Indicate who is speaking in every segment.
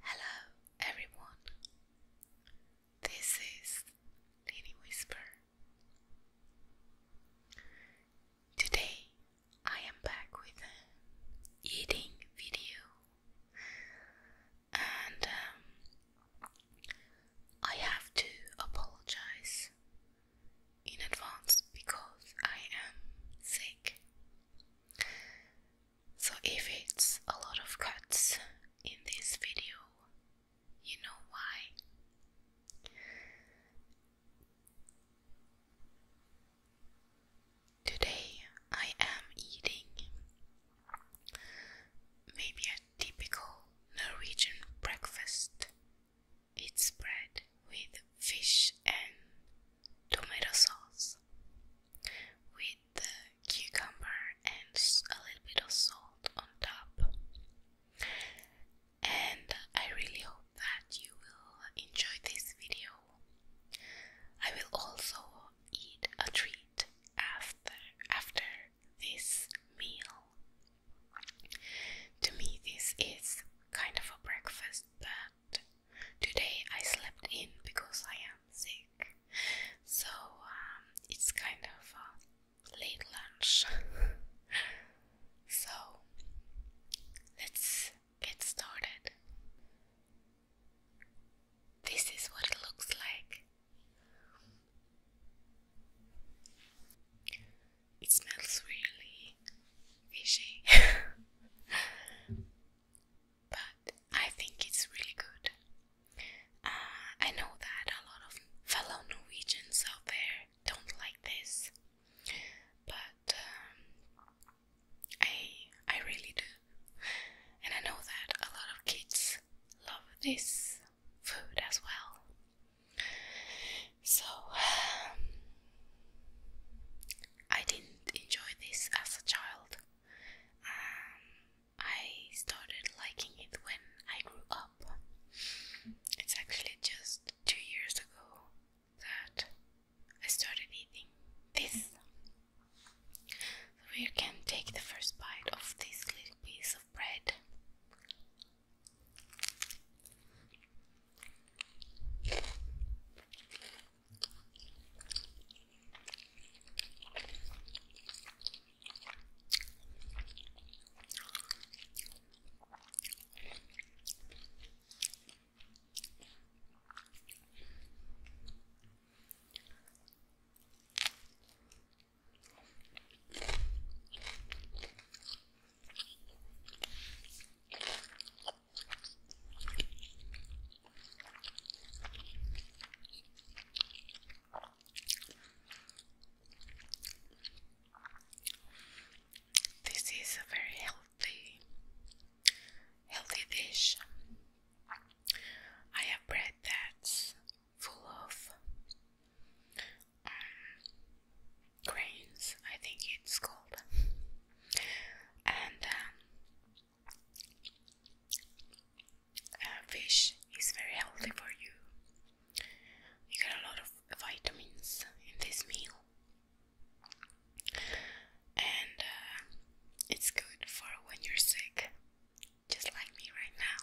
Speaker 1: Hello, everyone. This is Lily Whisper. Today I am back with eating video, and um, I have to apologize in advance because I am sick. So if it's a lot of cuts in this video, you know why. Today I am eating. Maybe typical Norwegian breakfast. It's bread with fish and tomato sauce, with the cucumber and a little bit of salt on top. And I really hope that you will enjoy this video. I will also eat a treat after after this meal. To me, this is kind of a breakfast, but today I slept in because I am sick, so um, it's kind of a late lunch. so let's get started. This is what it looks like it smells really fishy, but I think it's really good. Uh, I know that a lot of fellow Norwegians out there don't like this, but um, I I really do, and I know that a lot of kids love this food as well. So I didn't enjoy this as a child. Um, I started liking it when I grew up. It's actually just two years ago that I started eating this. we can take the first bite of this little piece of bread. This is a very healthy healthy dish. I have bread that's full of um, grains, I think it's called, and um, uh, fish is very healthy for you. You get a lot of vitamins in this meal, and uh, it's good for when you're sick just like me right now.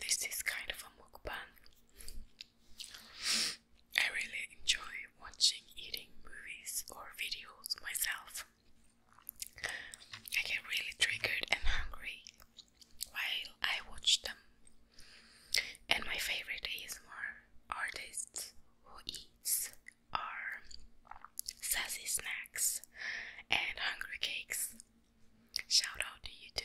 Speaker 1: This is kind of a mukbang. I really enjoy watching eating movies or videos myself. I get really triggered and hungry while I watch them. And my favorite is ASMR artists who eats are sassy snacks and hungry cakes. Shout out to you too.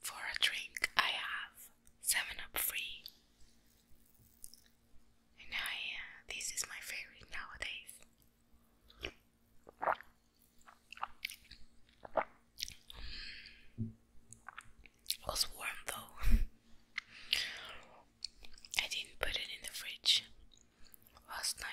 Speaker 1: For a drink, I have Seven Up Free, and I uh, this is my favorite nowadays. Mm. It was warm though. I didn't put it in the fridge last night.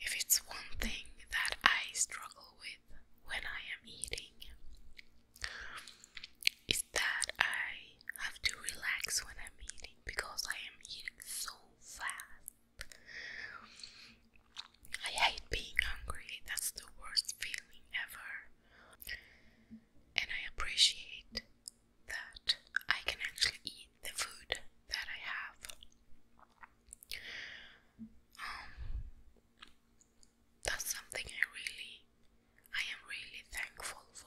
Speaker 1: If it's one thing that I struggle with when I am eating, is that I have to relax when I'm eating because I am eating so fast. I hate being hungry, that's the worst feeling ever. And I appreciate that I can actually eat the food that I have. Um, that's something I really I am really thankful for.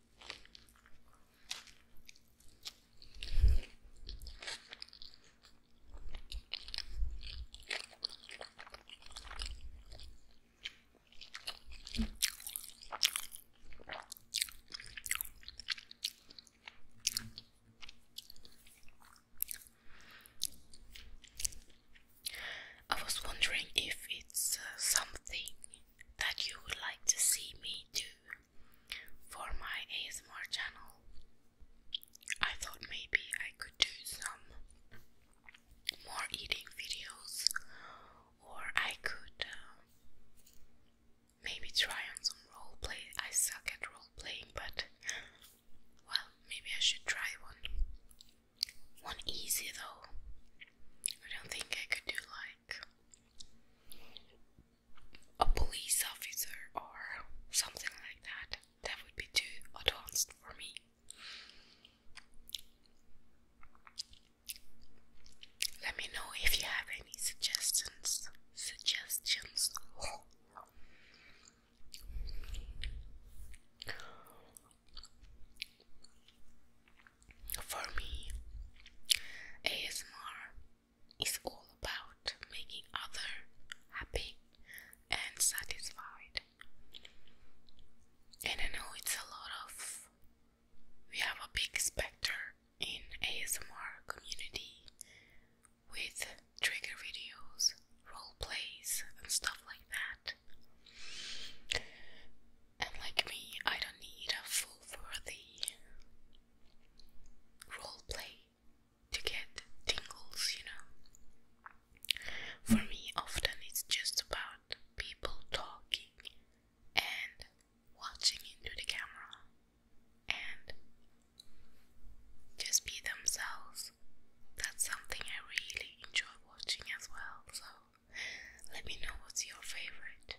Speaker 1: I was wondering if it's uh, something that you would like to see me do for my ASMR channel. I thought maybe I could do some more eating videos, or I could uh, maybe try on some role play. I suck at role playing, but well, maybe I should try one. One easy though. I don't think I could do like a police officer or something like that. That would be too advanced for me. Let me know if you have any suggestions. Suggestions. For me, ASMR is all about making other happy and satisfied. And I know it's a lot of we have a big spectrum in ASMR community with trigger videos, role plays and stuff like that. And like me, I don't need a full worthy role play to get tingles, you know. For me, often it's just about people talking and watching into the camera and just be themselves. That's something I really enjoy watching as well. So let me know what's your favorite.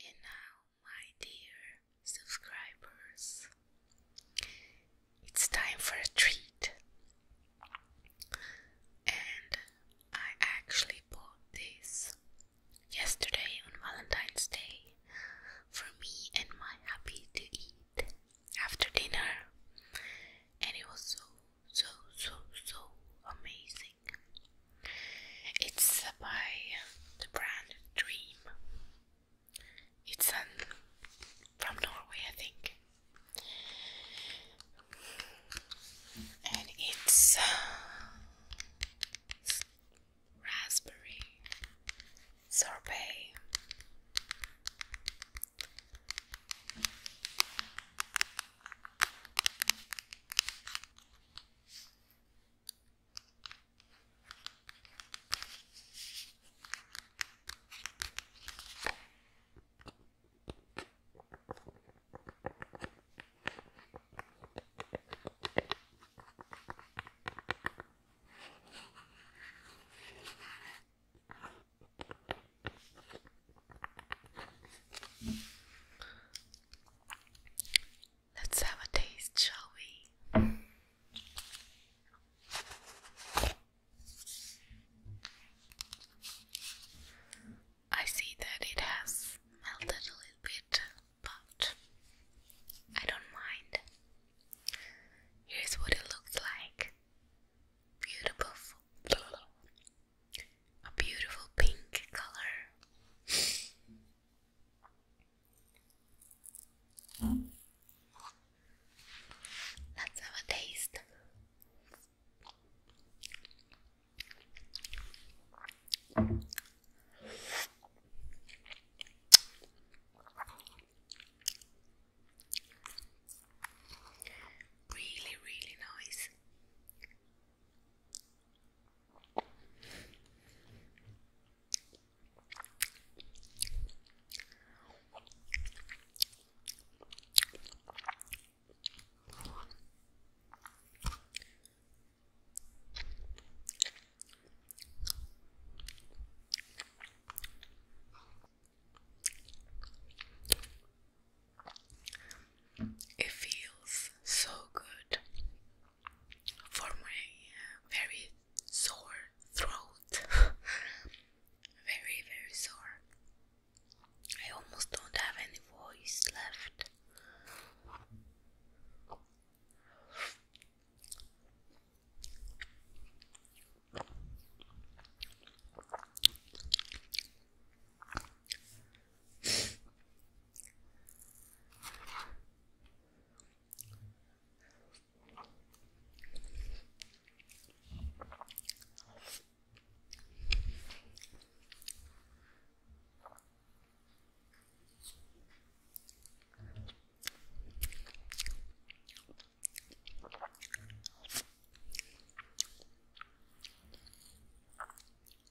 Speaker 1: And now, my dear subscribers, it's time for a treat. And I actually bought this yesterday on Valentine's Day for me and my hubby to eat after dinner, and it was so, so, so, so amazing. It's by the brand Dream. It's from Norway, I think, and it's uh, raspberry, sorbet. Let's have a taste, shall we? I see that it has melted a little bit, but I don't mind. Here's what it looks like. Beautiful, a beautiful pink color. Let's have a taste. Really, really nice. It feels so good for my uh, very sore throat. very, very sore. I almost don't have any voice left.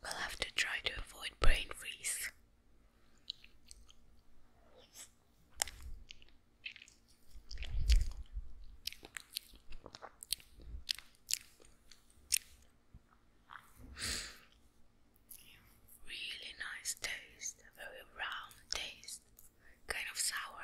Speaker 1: We'll have to try to avoid brain freeze. Really nice taste, a very round taste, kind of sour.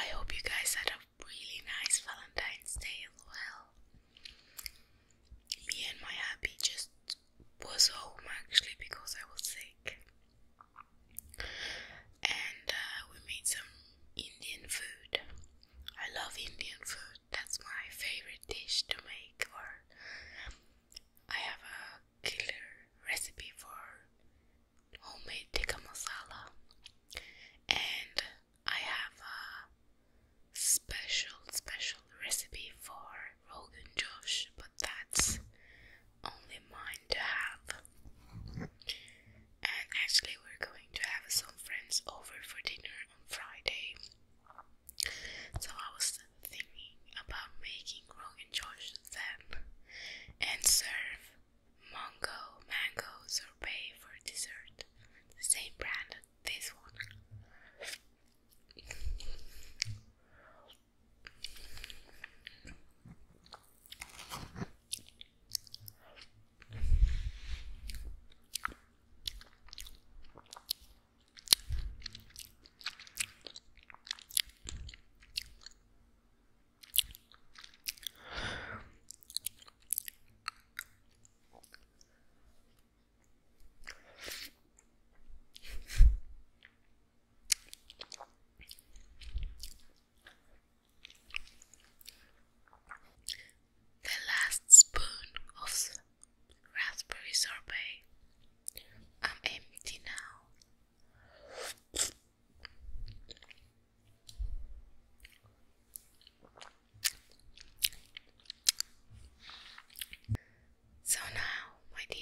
Speaker 1: I hope you guys had a really nice Valentine's Day as well. Me and my hubby just was home actually because I was sick, and uh, we made some Indian food. I love Indian food. That's my favorite dish to make. Or I have a killer recipe for homemade tikka masala, and I have a special, special recipe for Rogan Josh, but that's only mine to have. And actually, we're going to have some friends over for dinner on Friday. So I was thinking about making Rogan Josh then and serve mango mango sorbet for dessert, the same brand as this one. The last spoon of raspberry sorbet. I'm empty now. So now, my dear,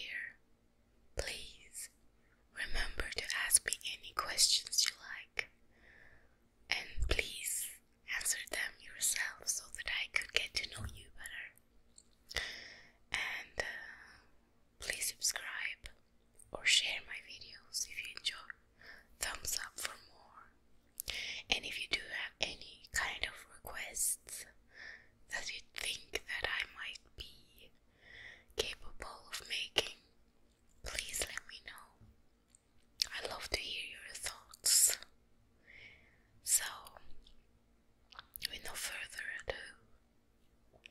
Speaker 1: please remember to ask me any questions you like and please answer them yourself so that I could get to know you better. And uh, Please subscribe or share my videos if you enjoy. Thumbs up for more. And if you do have any kind of requests that you think that I might be capable of making, please let me know. I love to hear your thoughts. So, with further ado,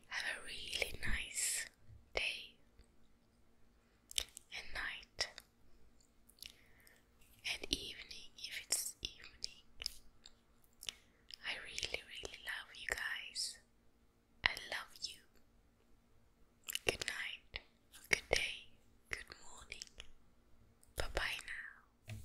Speaker 1: have a really nice day and night and evening if it's evening. I really, really love you guys. I love you. Good night, good day, good morning. Bye bye now.